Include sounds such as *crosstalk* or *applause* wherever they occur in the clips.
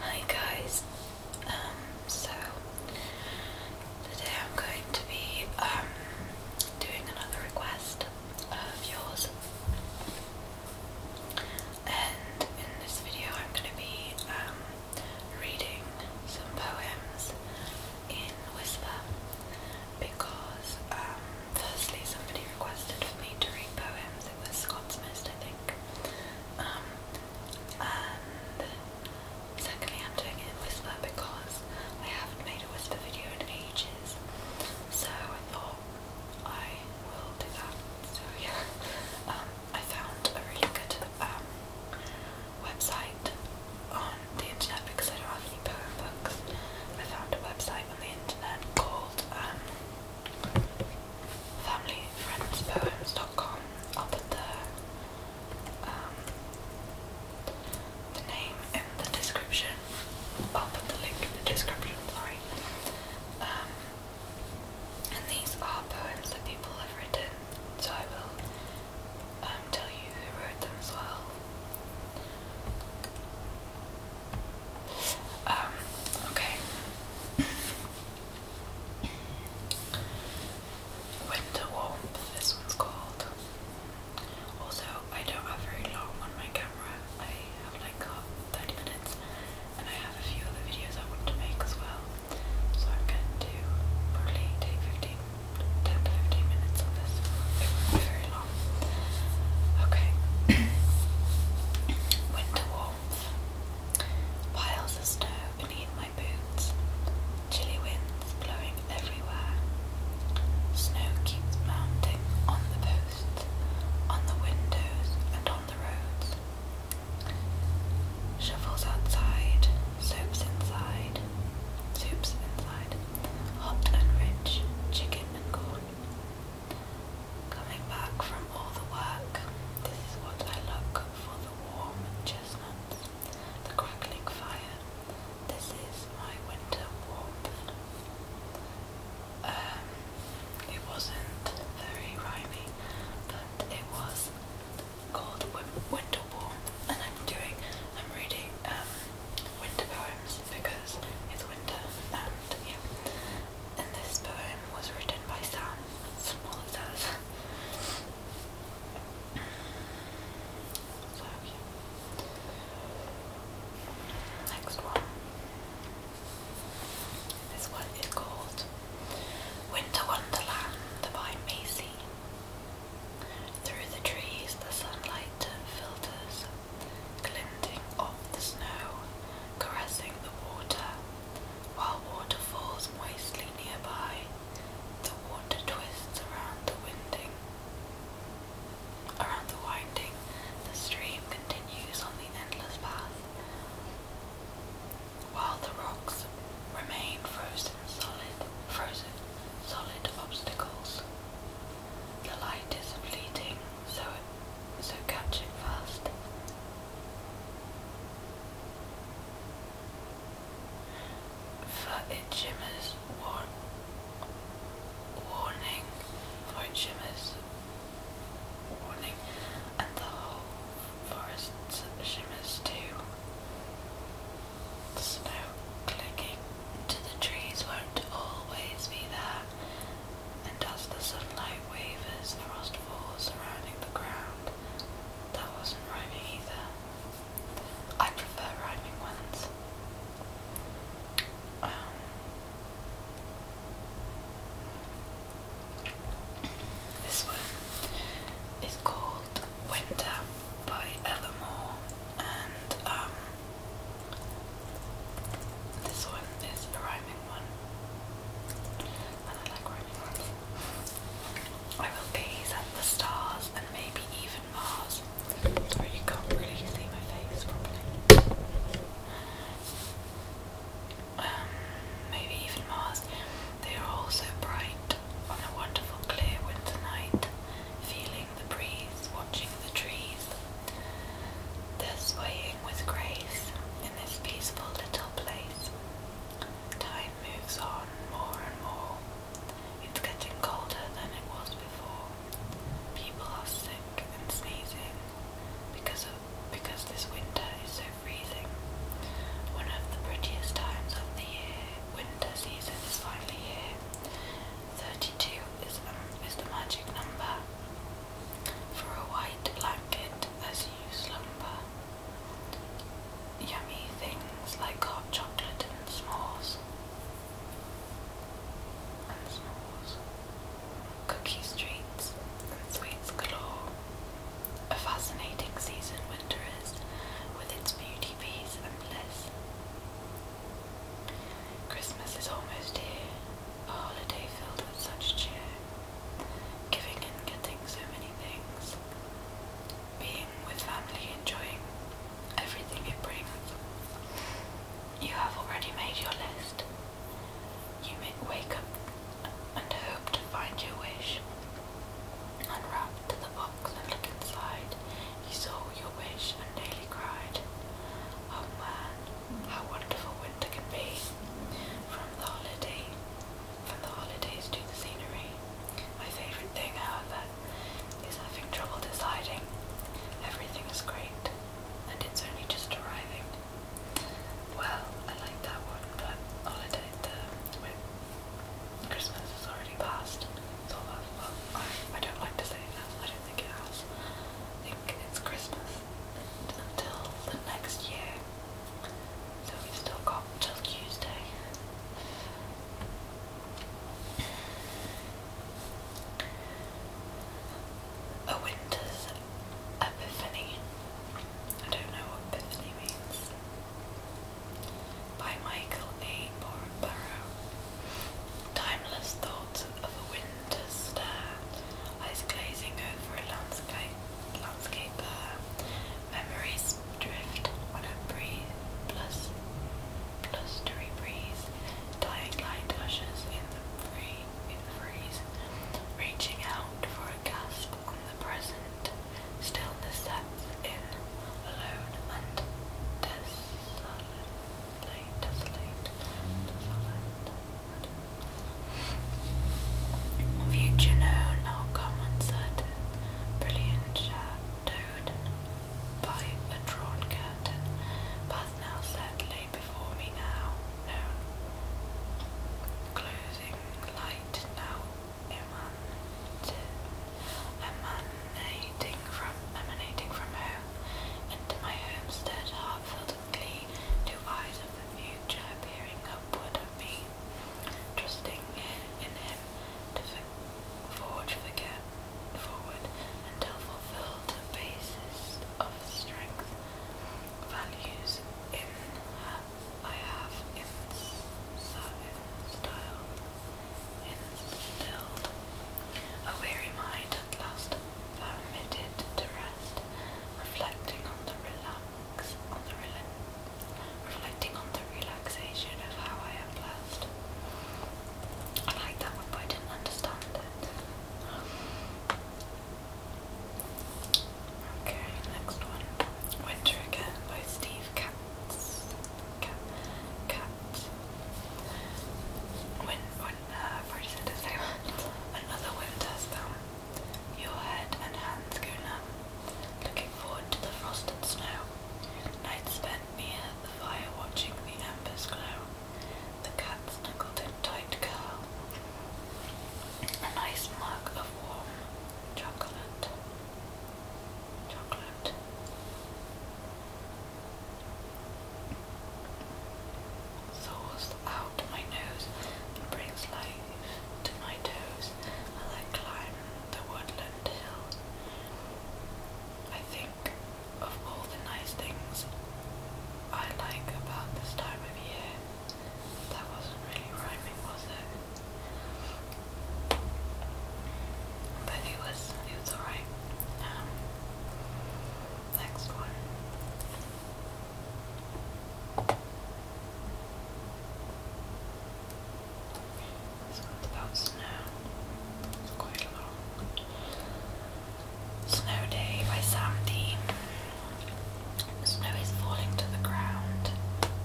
Hi guys, um, so today I'm going to be um, doing another request of yours and in this video I'm going to be um, reading some poems in Whisper because firstly somebody requested for me to read poems, it was Scott's Mist I think um, secondly, I'm doing it in Whisper because I haven't made a Whisper video in ages, so I thought I will do that. So yeah, um, I found a really good um, website on the internet because I don't have any poem books. I found a website on the internet called familyfriendspoems.com. I'll put the um, the name in the description. I'll put the link in the description. Sorry. Um, and these are poems that people have written, so I will um, tell you who wrote them as well. Um, okay. Winter Warmth, this one's called. Also, I don't have very long on my camera. I have like 30 minutes and I have a few other videos I want to make as well. So I'm going to probably take to 15 minutes on this. It won't be very long. Okay. *coughs* Winter Warmth. Piles of snow beneath my boots, chilly winds blowing everywhere. Snow keeps mounting on the posts, on the windows, and on the roads. Shovels outside, soups inside, soups inside, hot and rich, chicken and corn. Coming back from all the work, this is what I look for the warm chestnuts, the crackling fire. This is my winter warmth. Um, it wasn't very rhymey, but it was called Winter Warmth, and I'm doing, I'm reading um, winter poems because it's winter, and yeah and this poem was written by Sam Smolders. so, Next one. This one is called Winter Wonderland by Macy. Through the trees the sunlight filters, glinting off the snow, caressing the water, while water falls moistly nearby. The water twists around the winding. Around the winding, the stream continues on the endless path, while the rocks remain frozen solid, frozen solid obstacles. The light is fleeting, so so catch fast. For it shimmers, warning, for it shimmers, warning, and the whole forest shimmers too. snow clicking the trees won't always be there, and as the sunlight wavers, frost falls surrounding the ground. That wasn't rhyming either. I prefer rhyming ones. Um, this one is called Winter by Elmore, and um, this one is a rhyming one. I I will gaze at the stars and maybe even Mars. Sorry, you can't really see my face properly. Um, maybe even Mars. They are all so bright on a wonderful clear winter night, feeling the breeze, watching the trees. They're swaying with grace in this peaceful little place. Time moves on more and more. It's getting colder than it was before. People are sick and sneezing because of because this winter is so freezing. One of the prettiest times of the year, winter season is finally here. 32 is, um, is the magic number. For a white blanket as you slumber, yummy things like hot chocolate and s'mores. And s'mores. Cookies, treats, and sweets galore. A fascinating season winter is, with its beauty, peace, and bliss. Christmas is almost here, a holiday filled with such cheer. Giving and getting so many things. Being with family, enjoying everything it brings. You have already made your list. You may wake up and hope to find your wish. Unwrap the box and look inside. You saw your wish and nearly cried. Oh man, how wonderful winter can be. From the holiday from the holidays to the scenery. My favourite thing, however, is having trouble deciding. Everything great, and it's only just arriving. Well, I like that one, but holiday the when Christmas is already past. So I, I don't like to say that. I don't think it has. I think it's Christmas until the next year. So we've still got till Tuesday. A winter's epiphany. I don't know what epiphany means. By Michael A. Burrow. Timeless thoughts of a winter's stare lies glazing over a landscape, Memories drift when I breathe, plus, blustery breeze, dying light in the free, reaching out for a gasp on the present. Stillness sets in, alone and desolate. Future known, not common, certain, brilliant, shadowed by a drawn curtain, path now set, lay before me now, known, closing light now, emanating from, emanating from home, into my homestead, heart filled with glee, two eyes of the future peering upward at me, me, trusting in Him to forge forget forward until fulfilled the basis of strength, values in I have in, in style, instilled a weary mind at last permitted to rest, reflecting on the relax on the relax reflecting on the relaxation of how I am blessed. I like that one, but I didn't understand it. Okay, next one. Winter Again by Steve Katz. Cat, Katz. When, when, uh, *laughs* Another winter's film. Um, your head and hands go numb, looking forward to the frost and snow. Night spent near the fire watching the embers glow. The cat's snuggled in tight curl. A nice mug of warm chocolate. Chocolate. soars out my nose and brings light to my toes as I climb the woodland hill. I think of all the nice things I like about this time of year. That wasn't really rhyming, was it? But it was, it was alright. Um, next one. So that's now quite a long Snow Day by Sam Dean. Snow is falling to the ground,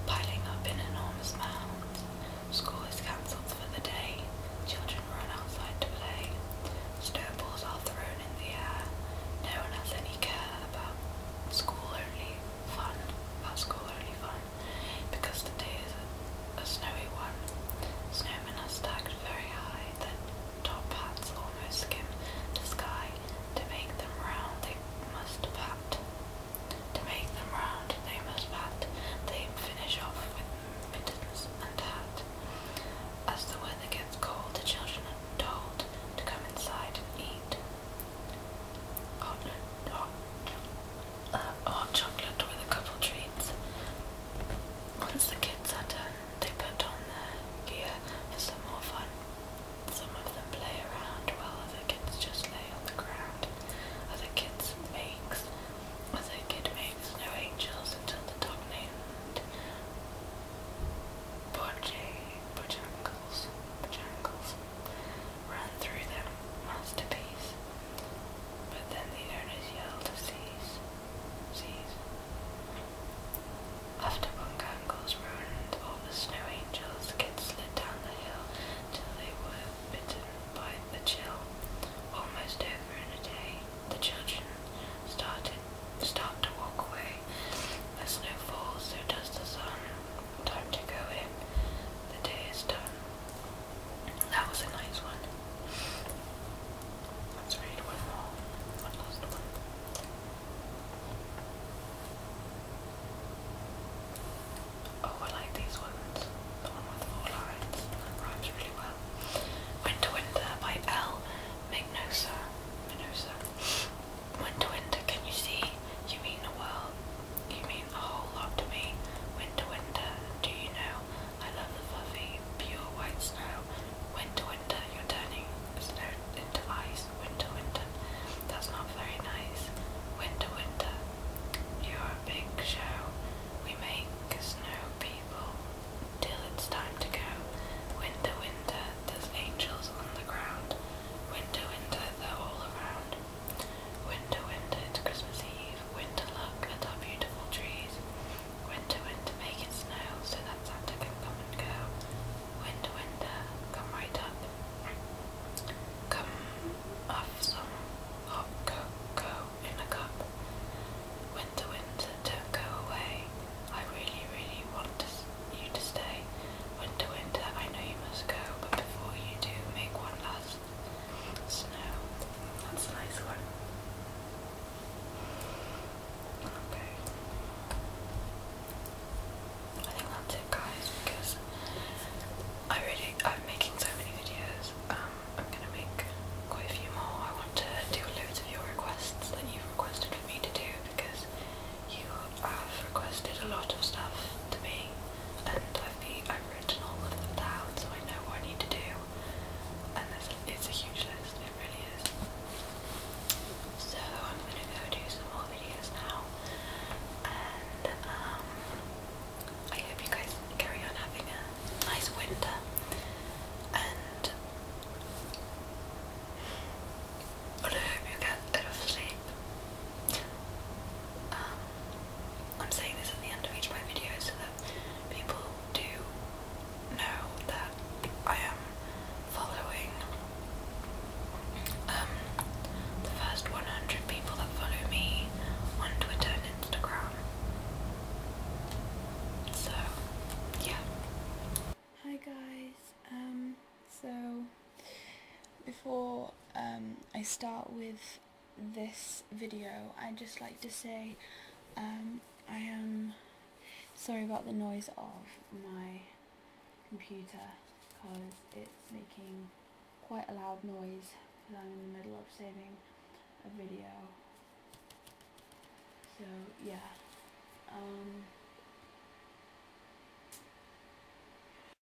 piling up in enormous mounds. School is cancelled for the day. Children run outside to play. Snowballs are thrown in the air. No one has any care about school, only fun, particularly fun, because today is a, snowy one. Snowmen are stacked very high, their top hats almost skim the sky. To make them round, they must pat. To make them round, they must pat. They finish off with mittens and hat. As the weather gets cold, the children are told to come inside and eat. Hot, hot, uh, hot chocolate with a couple treats. Once the kids are done, they put on their gear for some more fun. Some of them play around while other kids just lay on the ground. Other kids makes, other kid makes no angels until the dog named Bojangles, Bojangles Run through them, masterpiece. But then the owners yelled to cease, cease. After Bungango's ruined, all the snow angels' get slid down the hill till they were bitten by the chill. Almost over in a day, the children started start to walk away. As snow falls, so does the sun. Time to go in. The day is done. That was a nice one. Let's read one more. One last one. Oh, I like these ones. The one with four lines. That rhymes really well. Winter Winter by L. Mignosa. Minosa. Winter, winter, can you see? You mean the world. You mean a whole lot to me. Winter, winter, do you know? I love the fluffy, pure white snow. Winter, winter, you're turning snow into ice. Winter, winter, that's not very nice. Winter, winter, you're a big show. We make snow people till it's time to go. Winter, winter, there's angels on the ground. Winter, winter, they're all around. Winter, winter, it's Christmas Eve. Winter, look at our beautiful trees. Winter, winter, make it snow so that Santa can come and go. Winter, winter, come right up. Come off some hot cocoa in a cup. Winter, winter, don't go away. I really, really want you to stay. Winter, winter, I know you must go, but before you do, make one last snow. That's a nice one. Okay. I think that's it guys, because I really, I'm making so many videos, um, I'm gonna make quite a few more. I want to do loads of your requests that you've requested for me to do, because you i have requested a lot of stuff to me, and I've, be, I've written all of them down so I know what I need to do. And there's a, it's a huge list, it really is. So I'm gonna go do some more videos now, and um, I hope you guys carry on having a nice winter. And I hope you get enough sleep um, I'm saying this at the end of each of my videos so that people do know that I am following um, the first 100 people that follow me on Twitter and Instagram. So, yeah. Hi guys, um, so before um, I start with this video, I'd just like to say um, I am sorry about the noise of my computer because it's making quite a loud noise because I'm in the middle of saving a video. So yeah. Um,